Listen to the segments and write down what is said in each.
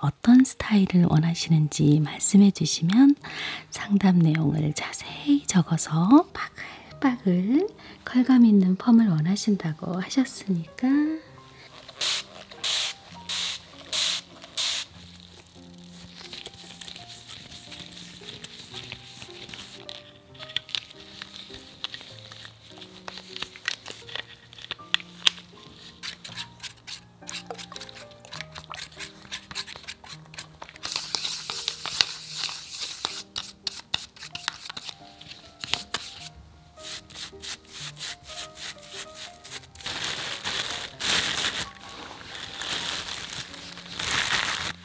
어떤 스타일을 원하시는지 말씀해 주시면 상담 내용을 자세히 적어서 바글바글 컬감 있는 펌을 원하신다고 하셨으니까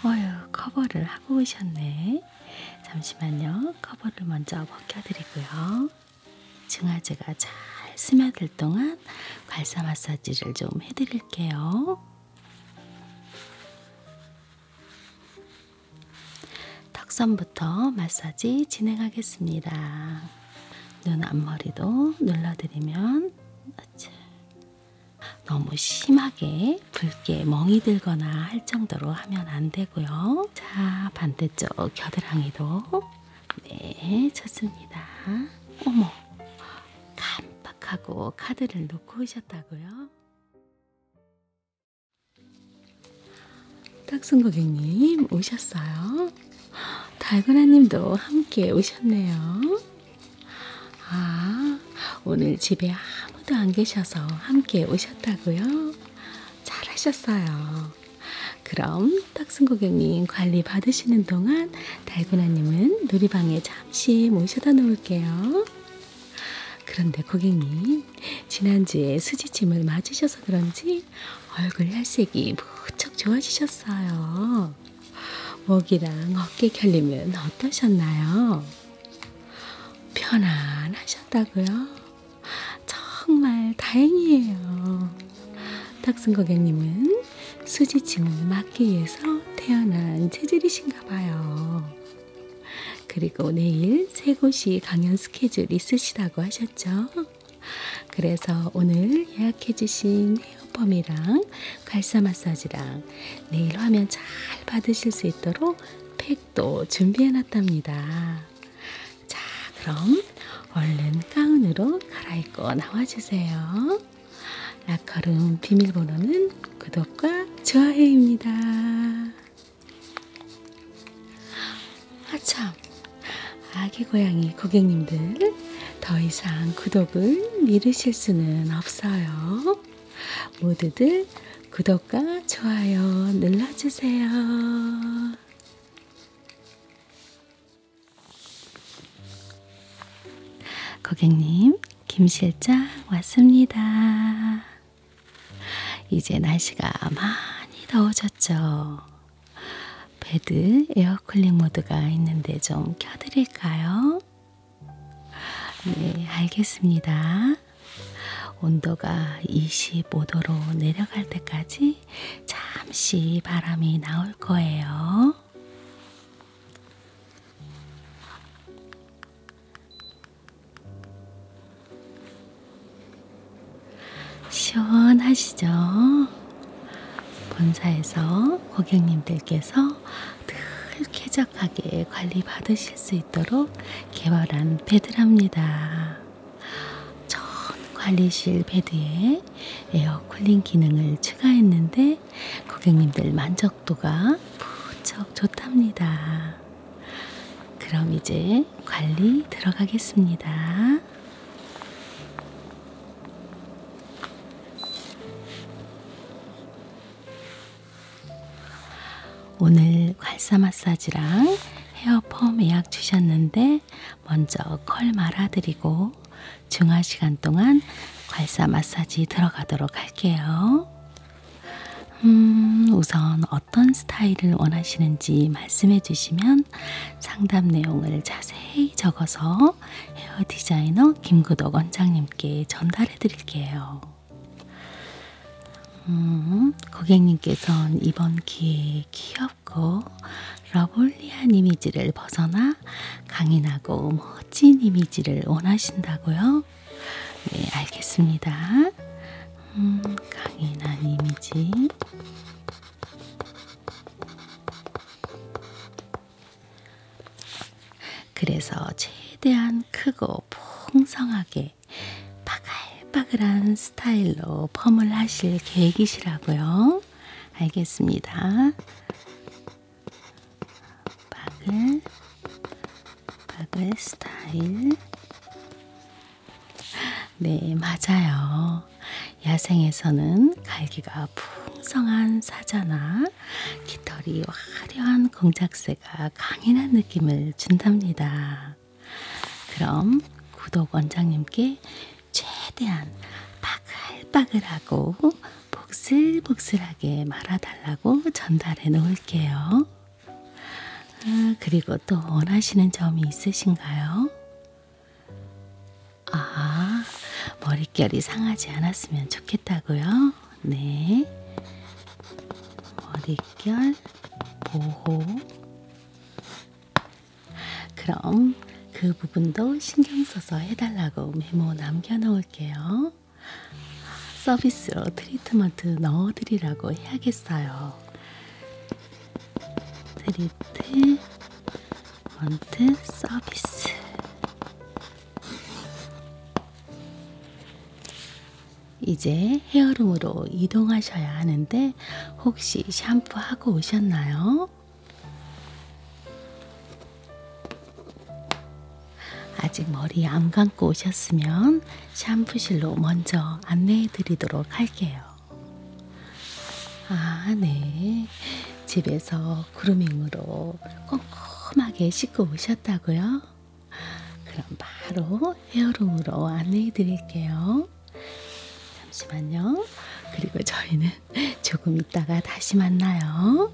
어휴, 커버를 하고 오셨네. 잠시만요. 커버를 먼저 벗겨드리고요. 증아제가 잘 스며들 동안 괄사 마사지를 좀 해드릴게요. 턱선부터 마사지 진행하겠습니다. 눈 앞머리도 눌러드리면 너무 심하게 붉게 멍이 들거나 할 정도로 하면 안 되고요. 자, 반대쪽 겨드랑이도 네, 좋습니다. 어머, 깜빡하고 카드를 놓고 오셨다고요? 딱순 고객님 오셨어요. 달고나님도 함께 오셨네요. 아, 오늘 집에 아무도 안 계셔서 함께 오셨다고요? 잘하셨어요. 그럼 탁순 고객님 관리 받으시는 동안 달고나님은 놀이방에 잠시 모셔다 놓을게요. 그런데 고객님, 지난주에 수지침을 맞으셔서 그런지 얼굴 혈색이 무척 좋아지셨어요. 목이랑 어깨 결림은 어떠셨나요? 편안하셨다고요? 정말 다행이에요. 탁순 고객님은 수지침을 막기 위해서 태어난 체질이신가 봐요. 그리고 내일 세 곳이 강연 스케줄 있으시다고 하셨죠? 그래서 오늘 예약해주신 헤어펌이랑 갈사 마사지랑 내일 화면 잘 받으실 수 있도록 팩도 준비해놨답니다. 자, 그럼 얼른 가운으로 갈아입고 나와주세요. 라커룸 비밀번호는 구독과 좋아요입니다. 아참, 아기 고양이 고객님들 더 이상 구독을 미루실 수는 없어요. 모두들 구독과 좋아요 눌러주세요. 고객님, 김실장 왔습니다. 이제 날씨가 많이 더워졌죠. 베드 에어쿨링 모드가 있는데 좀 켜드릴까요? 네, 알겠습니다. 온도가 25도로 내려갈 때까지 잠시 바람이 나올 거예요. 시원하시죠? 본사에서 고객님들께서 늘 쾌적하게 관리 받으실 수 있도록 개발한 배드랍니다. 전 관리실 베드에 에어 쿨링 기능을 추가했는데 고객님들 만족도가 무척 좋답니다. 그럼 이제 관리 들어가겠습니다. 오늘 괄사 마사지랑 헤어펌 예약 주셨는데 먼저 컬 말아드리고 중화 시간 동안 괄사 마사지 들어가도록 할게요. 음, 우선 어떤 스타일을 원하시는지 말씀해 주시면 상담 내용을 자세히 적어서 헤어 디자이너 김구덕 원장님께 전달해 드릴게요. 음, 고객님께서는 이번 기회에 기업 부드럽고 러블리한 이미지를 벗어나 강인하고 멋진 이미지를 원하신다고요? 네, 알겠습니다. 음, 강인한 이미지. 그래서 최대한 크고 풍성하게 박아요. 빠글빠글한 스타일로 펌을 하실 계획이시라고요. 알겠습니다. 바글, 바글 스타일. 네, 맞아요. 야생에서는 갈기가 풍성한 사자나 깃털이 화려한 공작새가 강인한 느낌을 준답니다. 그럼 구독 원장님께 최대한 바글바글하고 복슬복슬하게 말아달라고 전달해 놓을게요. 아, 그리고 또 원하시는 점이 있으신가요? 아, 머릿결이 상하지 않았으면 좋겠다고요? 네. 머릿결 보호. 그럼 그 부분도 신경 써서 해달라고 메모 남겨놓을게요. 서비스로 트리트먼트 넣어드리라고 해야겠어요. 트리트먼트 서비스. 이제 헤어룸으로 이동하셔야 하는데 텐데 혹시 샴푸하고 오셨나요? 아직 머리 안 감고 오셨으면 샴푸실로 먼저 안내해 드리도록 할게요. 아, 네. 집에서 그루밍으로 꼼꼼하게 씻고 오셨다고요? 그럼 바로 헤어룸으로 안내해 드릴게요. 잠시만요. 그리고 저희는 조금 있다가 다시 만나요.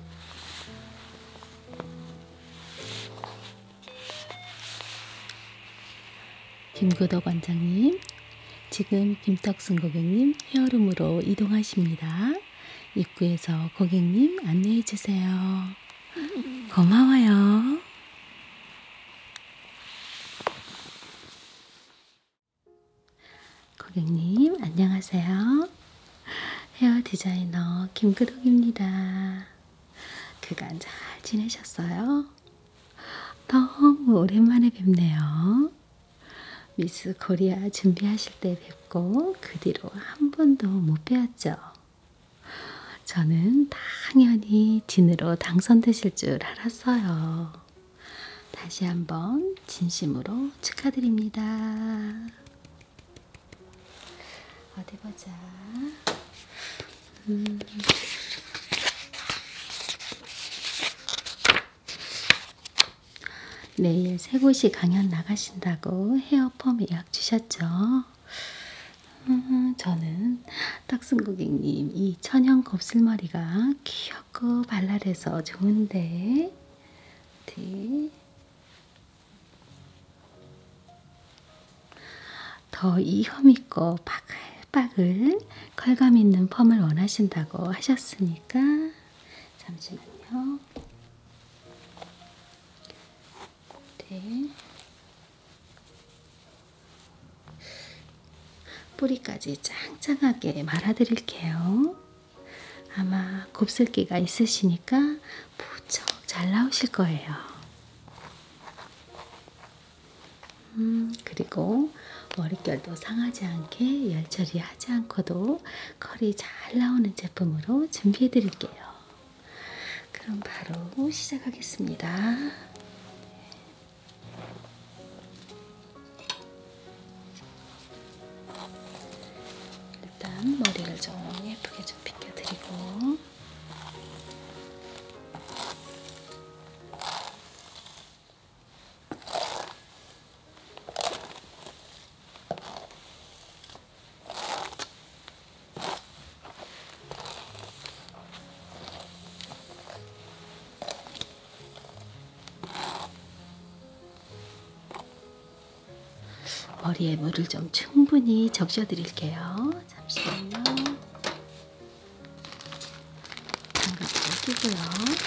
김구덕 원장님, 지금 김탁순 고객님 헤어룸으로 이동하십니다. 입구에서 고객님 안내해 주세요. 고마워요. 고객님, 안녕하세요. 헤어 디자이너 김그덕입니다. 그간 잘 지내셨어요? 너무 오랜만에 뵙네요. 미스 코리아 준비하실 때 뵙고 그 뒤로 한 번도 못 뵈었죠. 저는 당연히 진으로 당선되실 줄 했어요. 다시 한번 진심으로 축하드립니다. 어디 보자. 음. 내일 세 곳이 강연 나가신다고 헤어펌 예약 주셨죠? 음, 저는 짠! 탁순 고객님, 이 천연 곱슬머리가 귀엽고 발랄해서 좋은데. 네. 더 이혐 있고 바글바글 컬감 있는 펌을 원하신다고 하셨으니까 잠시만요. 네. 뿌리까지 짱짱하게 말아드릴게요. 아마 곱슬기가 있으시니까 무척 잘 나오실 거예요. 음, 그리고 머릿결도 상하지 않게 열처리 하지 않고도 컬이 잘 나오는 제품으로 준비해 드릴게요. 그럼 바로 시작하겠습니다. 일단 머리를 좀 예쁘게 좀 빗겨드리고 머리에 물을 좀 충분히 적셔 드릴게요. 잠시만요. 장갑 끼고요.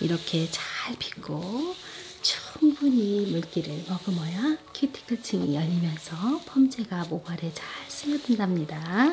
이렇게 잘 빗고 충분히 물기를 머금어야 큐티클 층이 열리면서 펌제가 모발에 잘 스며든답니다.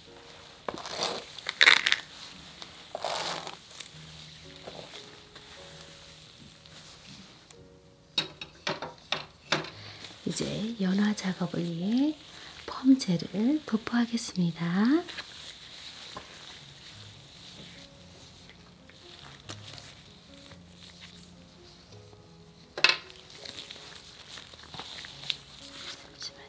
이제 연화 작업을 위해 펌젤을 도포하겠습니다. 잠시만요.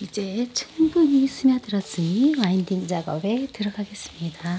이제 충분히 스며들었으니 와인딩 작업에 들어가겠습니다.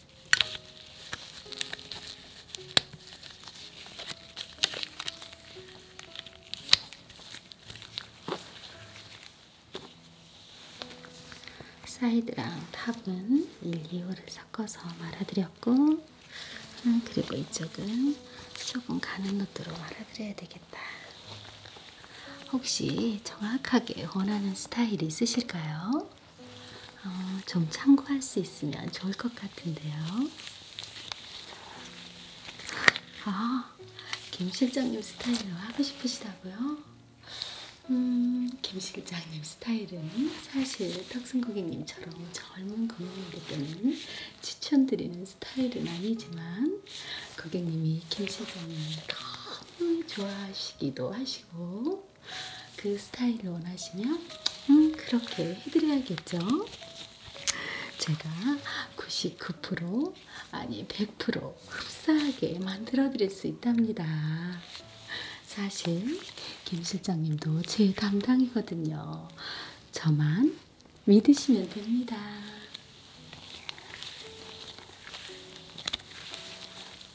사이드랑 탑은 1, 2호를 섞어서 말아드렸고 아, 그리고 이쪽은 조금 가는 노트로 말아드려야 되겠다. 혹시 정확하게 원하는 스타일 있으실까요? 어, 좀 참고할 수 있으면 좋을 것 같은데요. 아, 김 실장님 스타일로 하고 싶으시다고요? 음, 김 실장님 스타일은 사실 탁순 고객님처럼 젊은 고객님에게는 추천드리는 스타일은 아니지만 고객님이 김 실장님을 너무 좋아하시기도 하시고 있고 그 스타일을 원하시면 음, 그렇게 해드려야겠죠. 제가 99% 아니 100% 흡사하게 만들어드릴 수 있답니다. 사실 김 실장님도 제 담당이거든요. 저만 믿으시면 됩니다.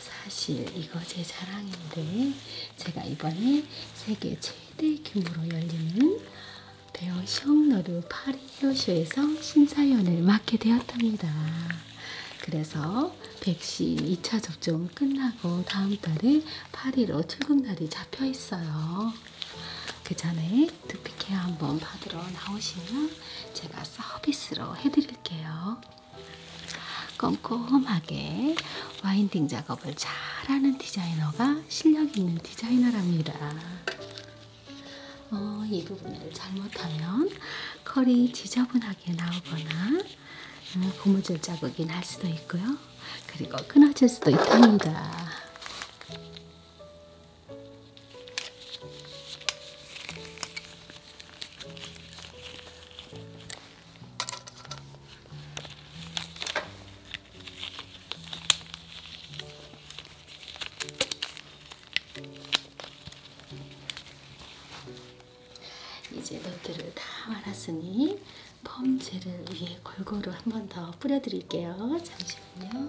사실 이거 제 자랑인데 제가 이번에 세계 최대 규모로 열리는 되어 시험너루 파리 효쇼에서 심사위원을 맡게 되었답니다. 그래서 백신 2차 접종 끝나고 다음 달에 파리로 출국날이 잡혀 있어요. 그 전에 두피 케어 한번 받으러 나오시면 제가 서비스로 해드릴게요. 꼼꼼하게 와인딩 작업을 잘하는 디자이너가 실력 있는 디자이너랍니다. 어, 이 부분을 잘못하면 컬이 지저분하게 나오거나 음, 고무줄 자국이 날 수도 있고요. 그리고 끊어질 수도 있답니다. 이제 너트를 다 말았으니 펌 젤을 위에 골고루 한 번 더 뿌려드릴게요. 잠시만요.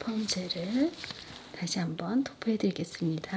펌젤을 다시 한번 도포해 드리겠습니다.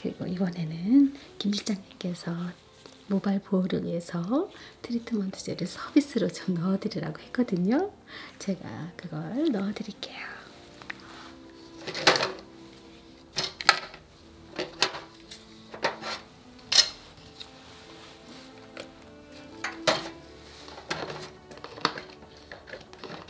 그리고 이번에는 김실장님께서 모발 보호를 위해서 트리트먼트제를 서비스로 좀 넣어드리라고 했거든요. 제가 그걸 넣어드릴게요.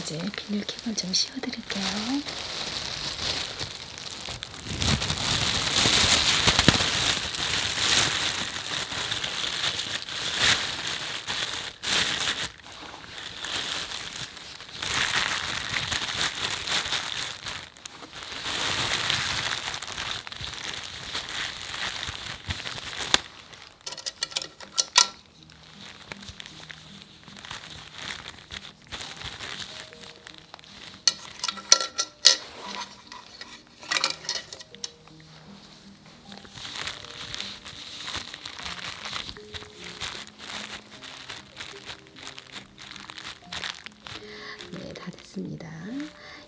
이제 비닐캡은 좀 씌워드릴게요. 네, 다 됐습니다.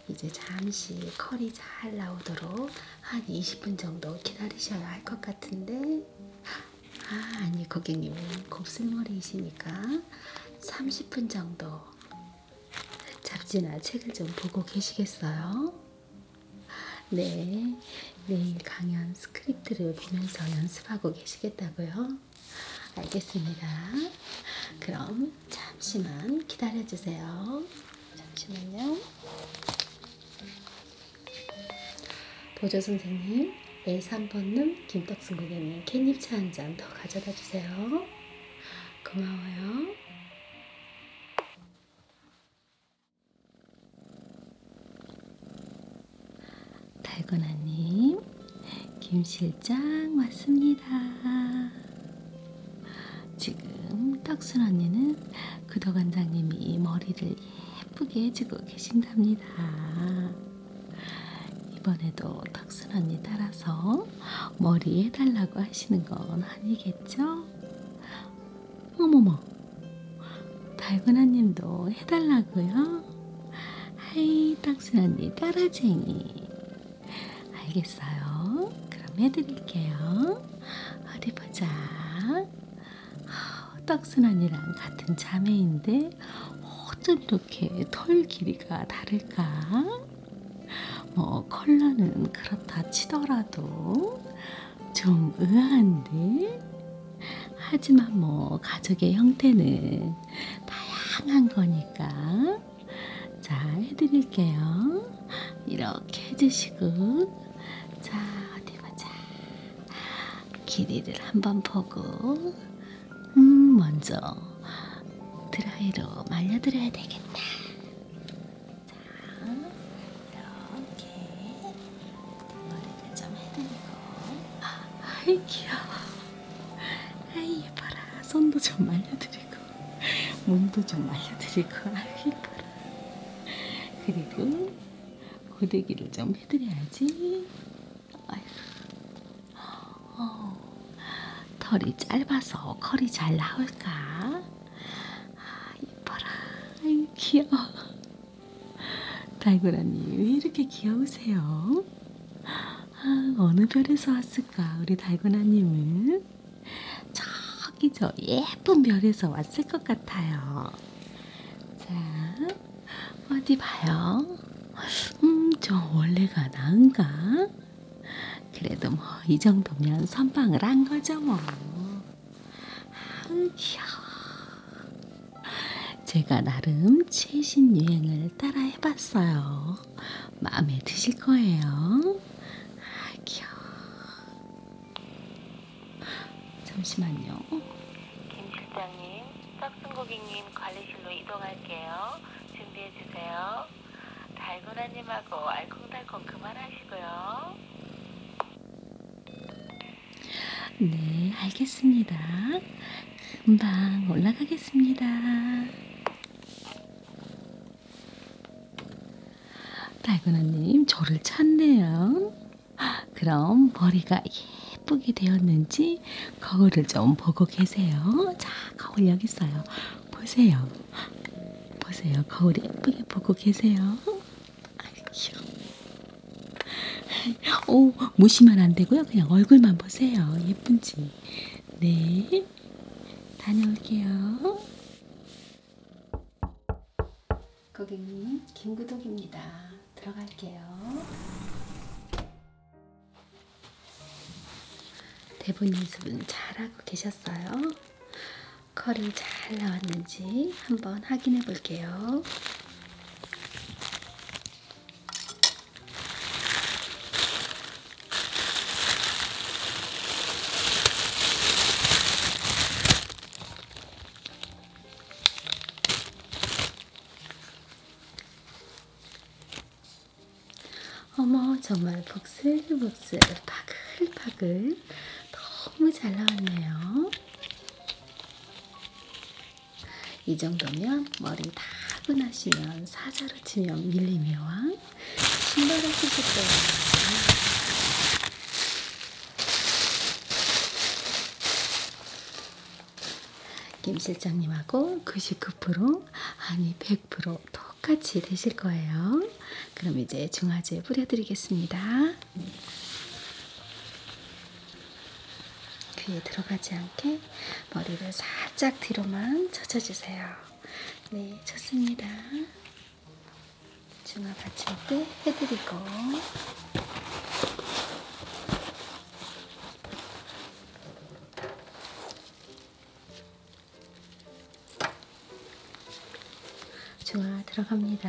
이제 잠시 컬이 잘 나오도록 한 20분 정도 기다리셔야 할 것 같은데 아 아니 고객님은 곱슬머리이시니까 30분 정도 잡지나 책을 좀 보고 계시겠어요? 네 내일 강연 스크립트를 보면서 연습하고 계시겠다고요? 알겠습니다. 그럼 잠시만 기다려주세요. 잠시만요. 보조 선생님, A3번님, 김떡순 고객님, 캣잎차 한 잔 더 가져다 주세요. 고마워요. 달고나님, 김실장 왔습니다. 지금 탁순 언니는 구도관장님이 머리를 예쁘게 해주고 계신답니다. 이번에도 탁순 언니 따라서 머리 해달라고 하시는 건 아니겠죠? 어머머, 달고나님도 해달라고요? 하이, 탁순 언니 따라쟁이. 알겠어요. 그럼 해드릴게요. 어디 보자. 떡순언니랑 같은 자매인데 어쩜 이렇게 털 길이가 다를까? 뭐 컬러는 그렇다 치더라도 좀 의아한데? 하지만 뭐 가족의 형태는 다양한 거니까 자 해드릴게요. 이렇게 해주시고 자, 어디 보자. 길이를 한번 보고, 음, 먼저 드라이로 말려드려야 되겠다. 자, 이렇게 머리를 좀 해드리고. 아, 아이, 귀여워. 아이, 예뻐라. 손도 좀 말려드리고. 몸도 좀 말려드리고 아이거라 그리고 고데기를 좀 해드려야지. 어, 털이 짧아서 컬이 잘 나올까? 아, 이뻐라. 아유, 귀여워. 달고라님, 왜 이렇게 귀여우세요? 아, 어느 별에서 왔을까? 우리 달고나님은? 저기 저 예쁜 별에서 왔을 것 같아요. 자, 어디 봐요. 음, 저 원래가 나은가? 그래도 뭐, 이 정도면 선방을 한 거죠, 뭐. 아우, 귀여워. 제가 나름 최신 유행을 따라 해봤어요. 마음에 드실 거예요. 아, 귀여워. 잠시만요. 김 실장님, 싹순 고객님 관리실로 이동할게요. 준비해 주세요. 달고나님하고 알콩달콩 그만하시고요. 네, 알겠습니다. 금방 올라가겠습니다. 달고나님 저를 찾네요. 그럼 머리가 예쁘게 되었는지 거울을 좀 보고 계세요. 자, 거울 여기 있어요. 보세요. 보세요. 거울 예쁘게 보고 계세요. 아이 귀여워. 오, 무시만 안 되고요. 그냥 얼굴만 보세요. 예쁜지. 네. 다녀올게요. 고객님, 김구독입니다. 들어갈게요. 대본 연습은 잘하고 계셨어요? 컬이 잘 나왔는지 한번 확인해 볼게요. 어머 정말 복슬복슬 파글파글 너무 잘 나왔네요. 이 정도면 머리 다 하고 나시면 사자로 치면 밀림의 왕 신발을 쓰셨어요. 김 실장님하고 99% 아니 100% 똑같이 되실 거예요. 그럼 이제 중화제 뿌려드리겠습니다. 귀에 들어가지 않게 머리를 살짝 뒤로만 젖혀주세요. 네, 좋습니다. 중화 받칠 때 해드리고 중화 들어갑니다.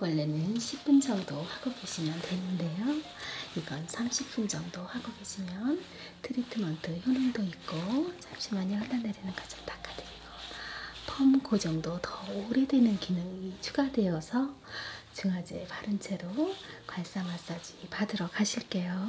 원래는 10분 정도 하고 계시면 되는데요. 이건 30분 정도 하고 계시면 트리트먼트 효능도 있고 잠시만요. 흘러내리는 것좀 닦아드리고 펌 고정도 더 오래되는 기능이 추가되어서 중화제 바른 채로 괄사 마사지 받으러 가실게요.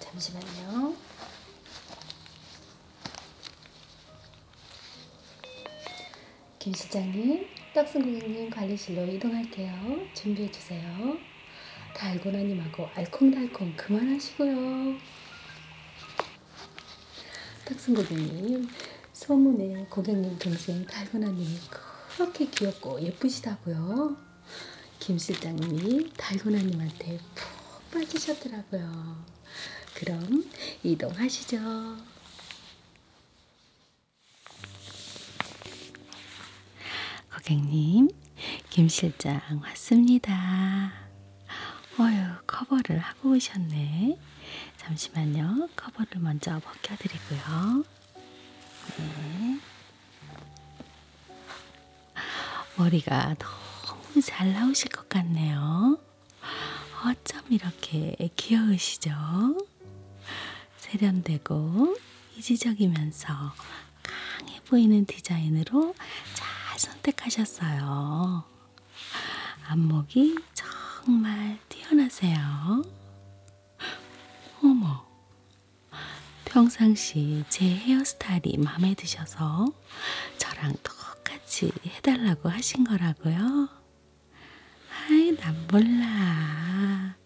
잠시만요. 김 실장님, 떡순 고객님 관리실로 이동할게요. 준비해주세요. 달고나님하고 알콩달콩 그만하시고요. 떡순 고객님, 소문에 고객님 동생 달고나님이 이렇게 귀엽고 예쁘시다고요. 김 실장님이 달고나님한테 푹 빠지셨더라고요. 그럼 이동하시죠. 고객님, 김 실장 왔습니다. 어휴, 커버를 하고 오셨네. 잠시만요. 커버를 먼저 벗겨드리고요. 네. 머리가 너무 잘 나오실 것 같네요. 어쩜 이렇게 귀여우시죠? 세련되고 이지적이면서 강해 보이는 디자인으로 잘 선택하셨어요. 안목이 정말 뛰어나세요. 어머, 평상시 제 헤어스타일이 마음에 드셔서 저랑 똑같이 해달라고 하신 거라고요? 아이, 난 몰라.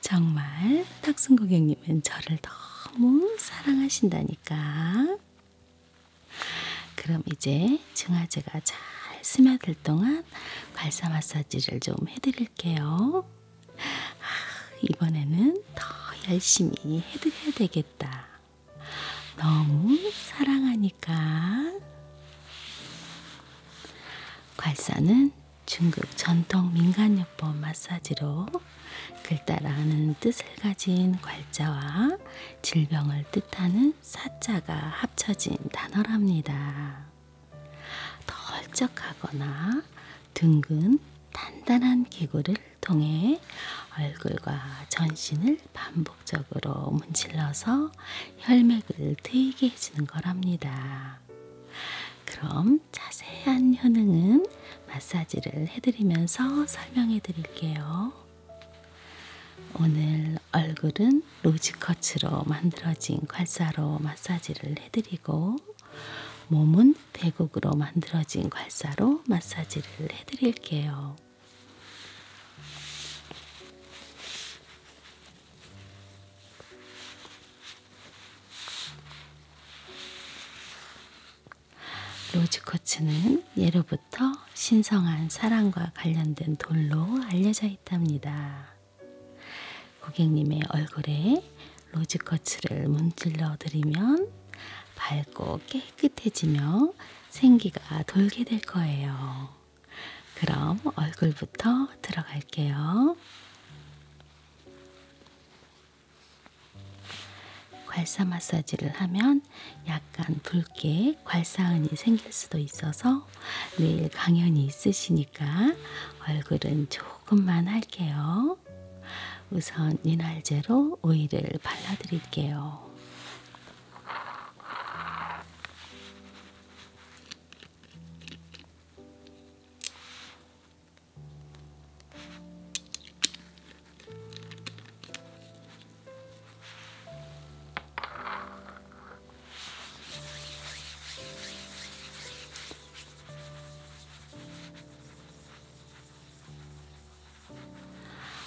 정말 탁순 고객님은 저를 너무 사랑하신다니까. 그럼 이제 증아제가 잘 스며들 사흘 동안 발사 마사지를 좀 해드릴게요. 아, 이번에는 더 열심히 해드려야 되겠다. 너무 사랑하니까. 괄사는 중국 전통 민간요법 마사지로 글자라는 뜻을 가진 괄자와 질병을 뜻하는 사자가 합쳐진 단어랍니다. 덜쩍하거나 둥근 단단한 기구를 통해 얼굴과 전신을 반복적으로 문질러서 혈맥을 트이게 해주는 거랍니다. 그럼 자세한 효능은 마사지를 해드리면서 설명해 드릴게요. 오늘 얼굴은 로즈컷으로 만들어진 괄사로 마사지를 해드리고 몸은 대국으로 만들어진 괄사로 마사지를 해드릴게요. 로즈코츠는 예로부터 신성한 사랑과 관련된 돌로 알려져 있답니다. 고객님의 얼굴에 로즈커츠를 문질러 드리면 밝고 깨끗해지며 생기가 돌게 될 거예요. 그럼 얼굴부터 들어갈게요. 괄사 마사지를 하면 약간 붉게 괄사흔이 생길 수도 있어서 하고요. 내일 강연이 있으시니까 얼굴은 조금만 할게요. 우선 윤활제로 오일을 발라드릴게요.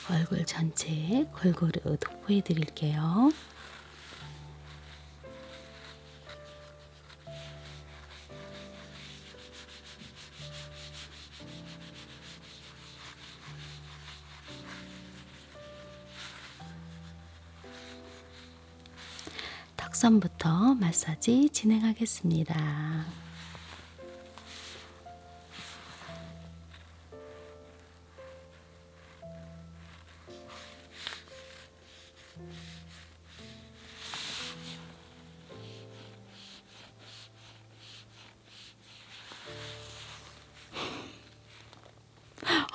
얼굴 전체에 골고루 도포해 드릴게요. 턱선부터 마사지 진행하겠습니다.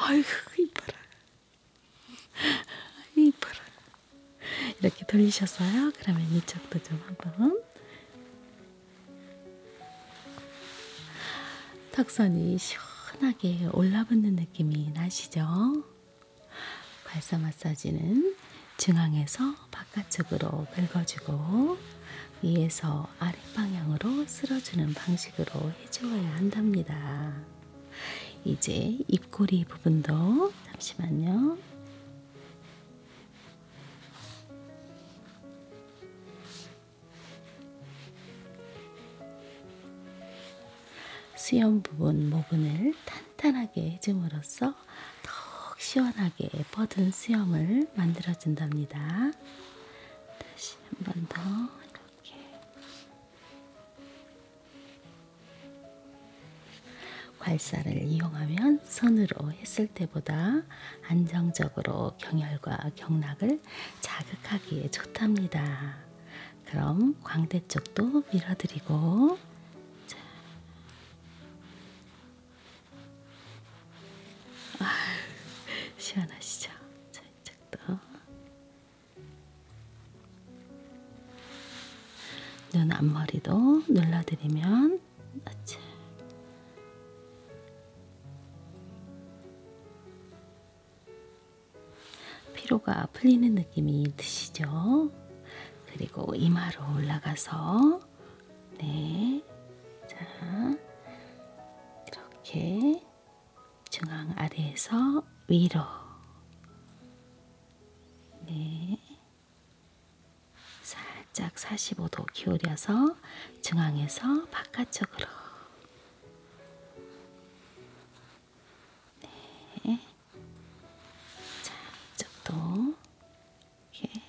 아이고 이뻐라. 이뻐라. 이렇게 돌리셨어요. 그러면 이쪽도 좀 한번. 턱선이 시원하게 올라붙는 느낌이 나시죠? 발사 마사지는 중앙에서 바깥쪽으로 긁어주고 위에서 아랫 방향으로 쓸어주는 방식으로 해주어야 한답니다. 이제 입꼬리 부분도 잠시만요. 수염 부분 모근을 탄탄하게 해줌으로써 더욱 시원하게 뻗은 수염을 만들어준답니다. 다시 한 번 더 이렇게 괄사를 이용하면 선으로 했을 때보다 안정적으로 경혈과 경락을 자극하기에 좋답니다. 그럼 광대 쪽도 밀어드리고 자. 아, 시원하시죠? 자, 이쪽도 눈 앞머리도 눌러드리면 아치. 피로가 풀리는 느낌이 드시죠? 그리고 이마로 올라가서 네, 자 이렇게 중앙 아래에서 위로 네. 살짝 45도 기울여서 중앙에서 바깥쪽으로 네. 자, 이쪽도 이렇게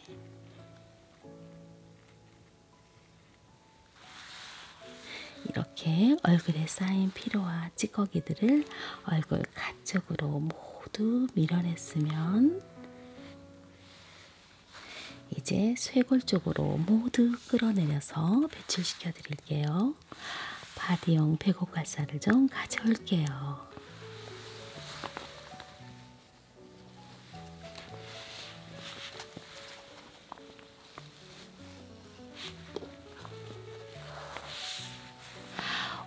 이렇게 얼굴에 쌓인 피로와 찌꺼기들을 얼굴 가쪽으로 모두 밀어냈으면 이제 쇄골 쪽으로 모두 끌어내려서 배출시켜 드릴게요. 바디용 배고갈사를 좀 가져올게요.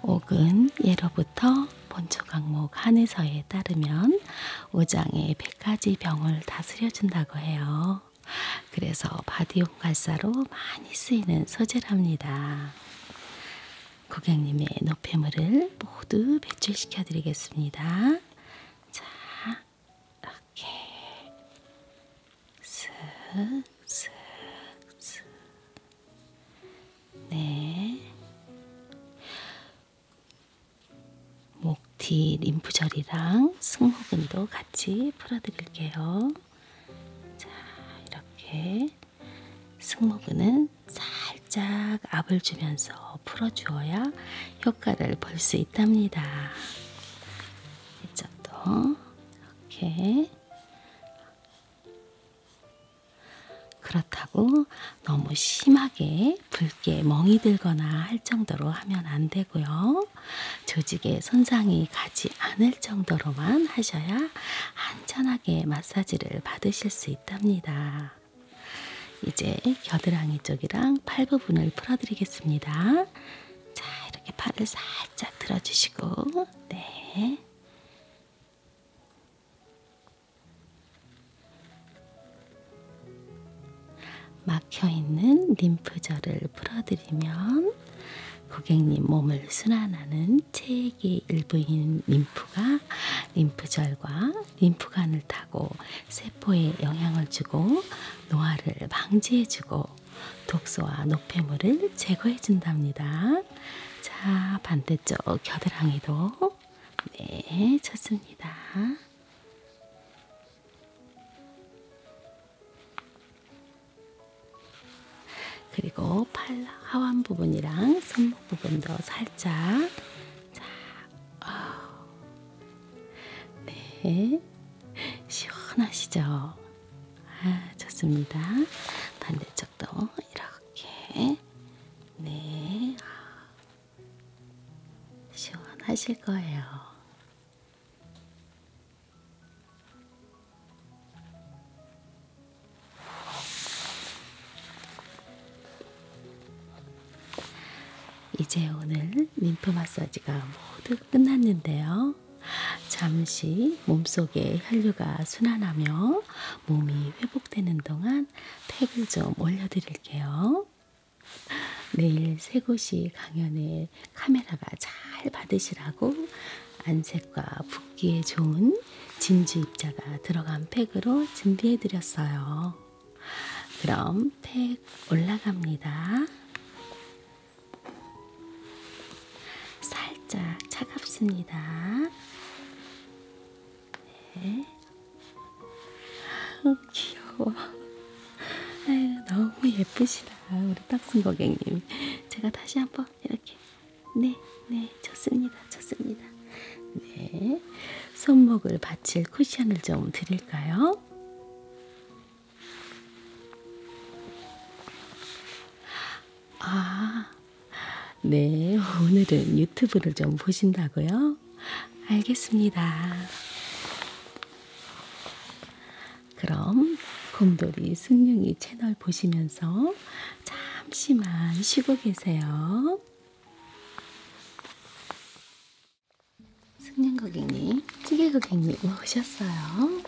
옥은 예로부터 본초 강목 한의서에 따르면 오장에 100가지 병을 다스려준다고 해요. 그래서 바디용 갈사로 많이 쓰이는 소재랍니다. 고객님의 노폐물을 모두 배출시켜 드리겠습니다. 자, 이렇게 슥슥슥 네. 목뒤 림프절이랑 승모근도 같이 풀어드릴게요. 자, 이렇게 승모근은 살짝 압을 주면서 풀어주어야 효과를 볼 수 있답니다. 있죠 또 이렇게 그렇다고 너무 심하게 붉게 멍이 들거나 할 정도로 하면 안 되고요. 조직에 손상이 가지 않을 정도로만 하셔야 안전하게 마사지를 받으실 수 있답니다. 이제 겨드랑이 쪽이랑 팔 부분을 풀어드리겠습니다. 자, 이렇게 팔을 살짝 들어주시고, 네. 막혀있는 림프절을 풀어드리면 고객님 몸을 순환하는 체액의 일부인 림프가 림프절과 림프관을 타고 세포에 영향을 주고 노화를 방지해주고 독소와 노폐물을 제거해준답니다. 자, 반대쪽 겨드랑이도 네, 좋습니다. 그리고 팔 하완 부분이랑 손목 부분도 살짝 자, 어. 네, 시원하시죠? 아, 좋습니다. 반대쪽도 이렇게. 네. 시원하실 거예요. 이제 오늘 림프 마사지가 모두 끝났는데요. 잠시 몸속에 혈류가 순환하며 몸이 회복되는 동안 팩을 좀 올려드릴게요. 내일 세 곳이 강연에 카메라가 잘 받으시라고 안색과 붓기에 좋은 진주 입자가 들어간 팩으로 준비해드렸어요. 그럼 팩 올라갑니다. 살짝 차갑습니다. 네. 아우, 귀여워. 아유, 너무 예쁘시다. 우리 딱순 고객님. 제가 다시 한번 이렇게. 네, 네, 좋습니다. 좋습니다. 네. 손목을 받칠 쿠션을 좀 드릴까요? 아, 네. 오늘은 유튜브를 좀 보신다고요? 알겠습니다. 그럼 곰돌이 승룡이 채널 보시면서 잠시만 쉬고 계세요. 승년 고객님, 찌개 고객님 오셨어요.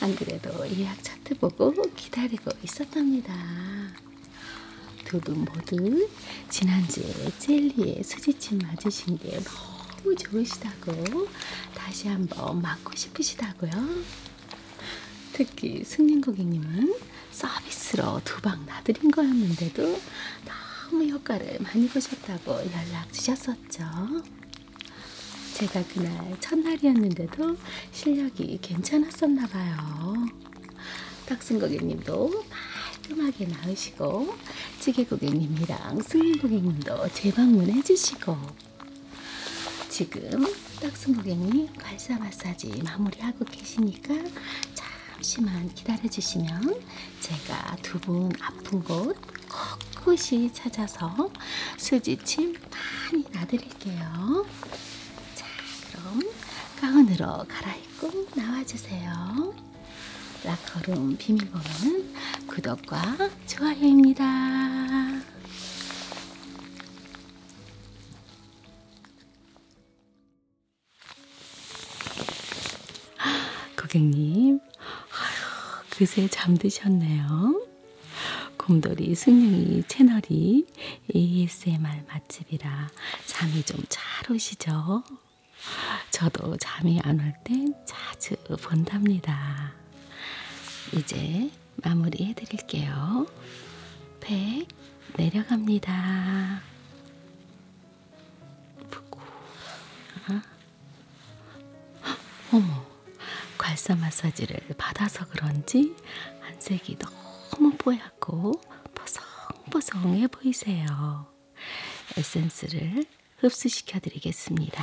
안 그래도 예약 차트 보고 기다리고 있었답니다. 두 분 모두 지난주에 젤리에 수지침 맞으신 게 너무 좋으시다고 다시 한번 맞고 싶으시다고요. 특히 승린 고객님은 서비스로 두방 놔드린 거였는데도 너무 효과를 많이 보셨 하셨다고 연락 주셨었죠. 제가 그날 첫날이었는데도 실력이 괜찮았었나 봐요. 탁순 고객님도 깔끔하게 나으시고 찌개 고객님이랑 스윙 고객님도 재방문해 주시고 지금 탁순 고객님 발사 마사지 마무리하고 계시니까 잠시만 기다려 주시면 제가 두 분 아픈 곳 꼿꼿이 찾아서 수지침 많이 놔드릴게요. 자, 그럼 가운으로 갈아입고 나와주세요. 라커룸 비밀번호는 구독과 좋아요입니다. 고객님, 아휴, 그새 잠드셨네요. 곰돌이 승용이 채널이 ASMR 맛집이라 잠이 좀 잘 오시죠? 저도 잠이 안 올 땐 자주 본답니다. 이제 마무리 해드릴게요. 백 내려갑니다. 아프고. 어? 아? 어머, 괄사 마사지를 받아서 그런지 한색이 너무 뽀얗고 보송보송해 보이세요. 에센스를 흡수시켜 드리겠습니다.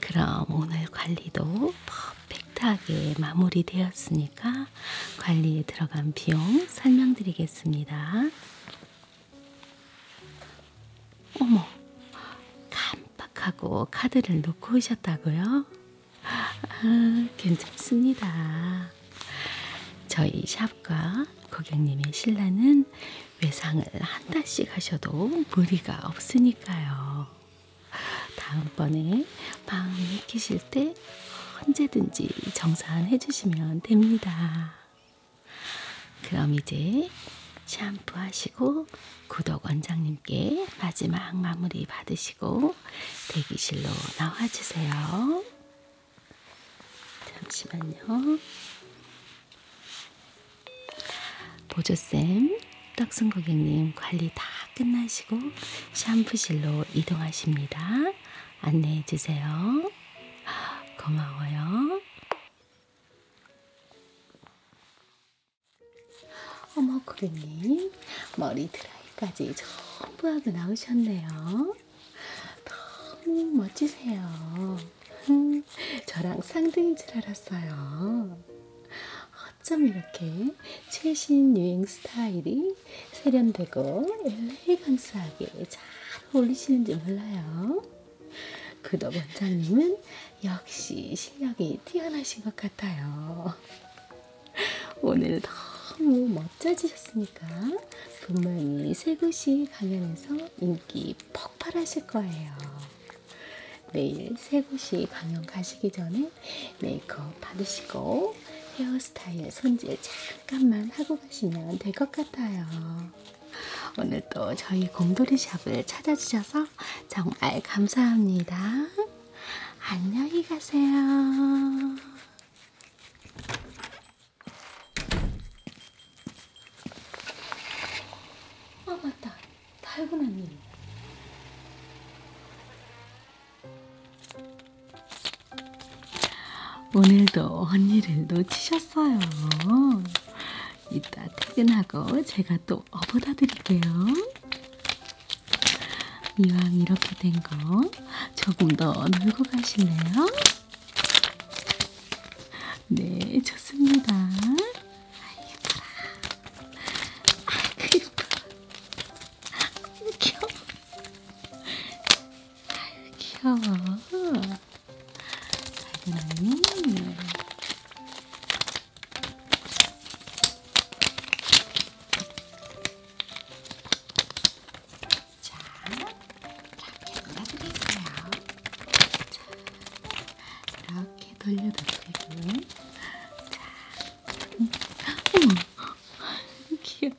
그럼 오늘 관리도 퍼펙트하게 마무리되었으니까 관리에 들어간 비용 설명드리겠습니다. 어머, 깜빡하고 카드를 놓고 오셨다고요? 아, 괜찮습니다. 저희 샵과 고객님의 신라는 외상을 한 달씩 하셔도 무리가 없으니까요. 다음번에 마음 익히실 때 언제든지 정산해 주시면 됩니다. 그럼 이제 샴푸하시고 구독 원장님께 마지막 마무리 받으시고 대기실로 나와주세요. 잠시만요. 보조쌤, 떡순 고객님 관리 다 끝나시고 샴푸실로 이동하십니다. 안내해주세요. 고마워요. 어머 고객님 머리 드라이까지 전부 하고 나오셨네요. 너무 멋지세요. 저랑 상등인 줄 알았어요. 어쩜 이렇게 최신 유행 스타일이 세련되고 엘레강스하게 잘 어울리시는지 몰라요. 그덕 원장님은 역시 실력이 뛰어나신 것 같아요. 오늘 너무 멋져지셨으니까 분명히 세구시 강연에서 인기 폭발하실 거예요. 매일 세구시 강연 가시기 전에 메이크업 받으시고 헤어스타일 손질 잠깐만 하고 가시면 될 것 같아요. 오늘 또 저희 곰돌이 샵을 찾아주셔서 주셔서 정말 감사합니다. 안녕히 가세요. 아 맞다. 달고나님. 오늘도 언니를 놓치셨어요. 이따 퇴근하고 제가 또 업어다 드릴게요. 이왕 이렇게 된 거 조금 더 놀고 가실래요? 네, 좋습니다. 아, 예뻐라. 아, 그 예뻐. 아, 귀여워. 아, 귀여워. 작은 언니. 자, 이렇게 돌아드릴게요. 자, 이렇게 돌려드리고. 자, 어머, 귀여워.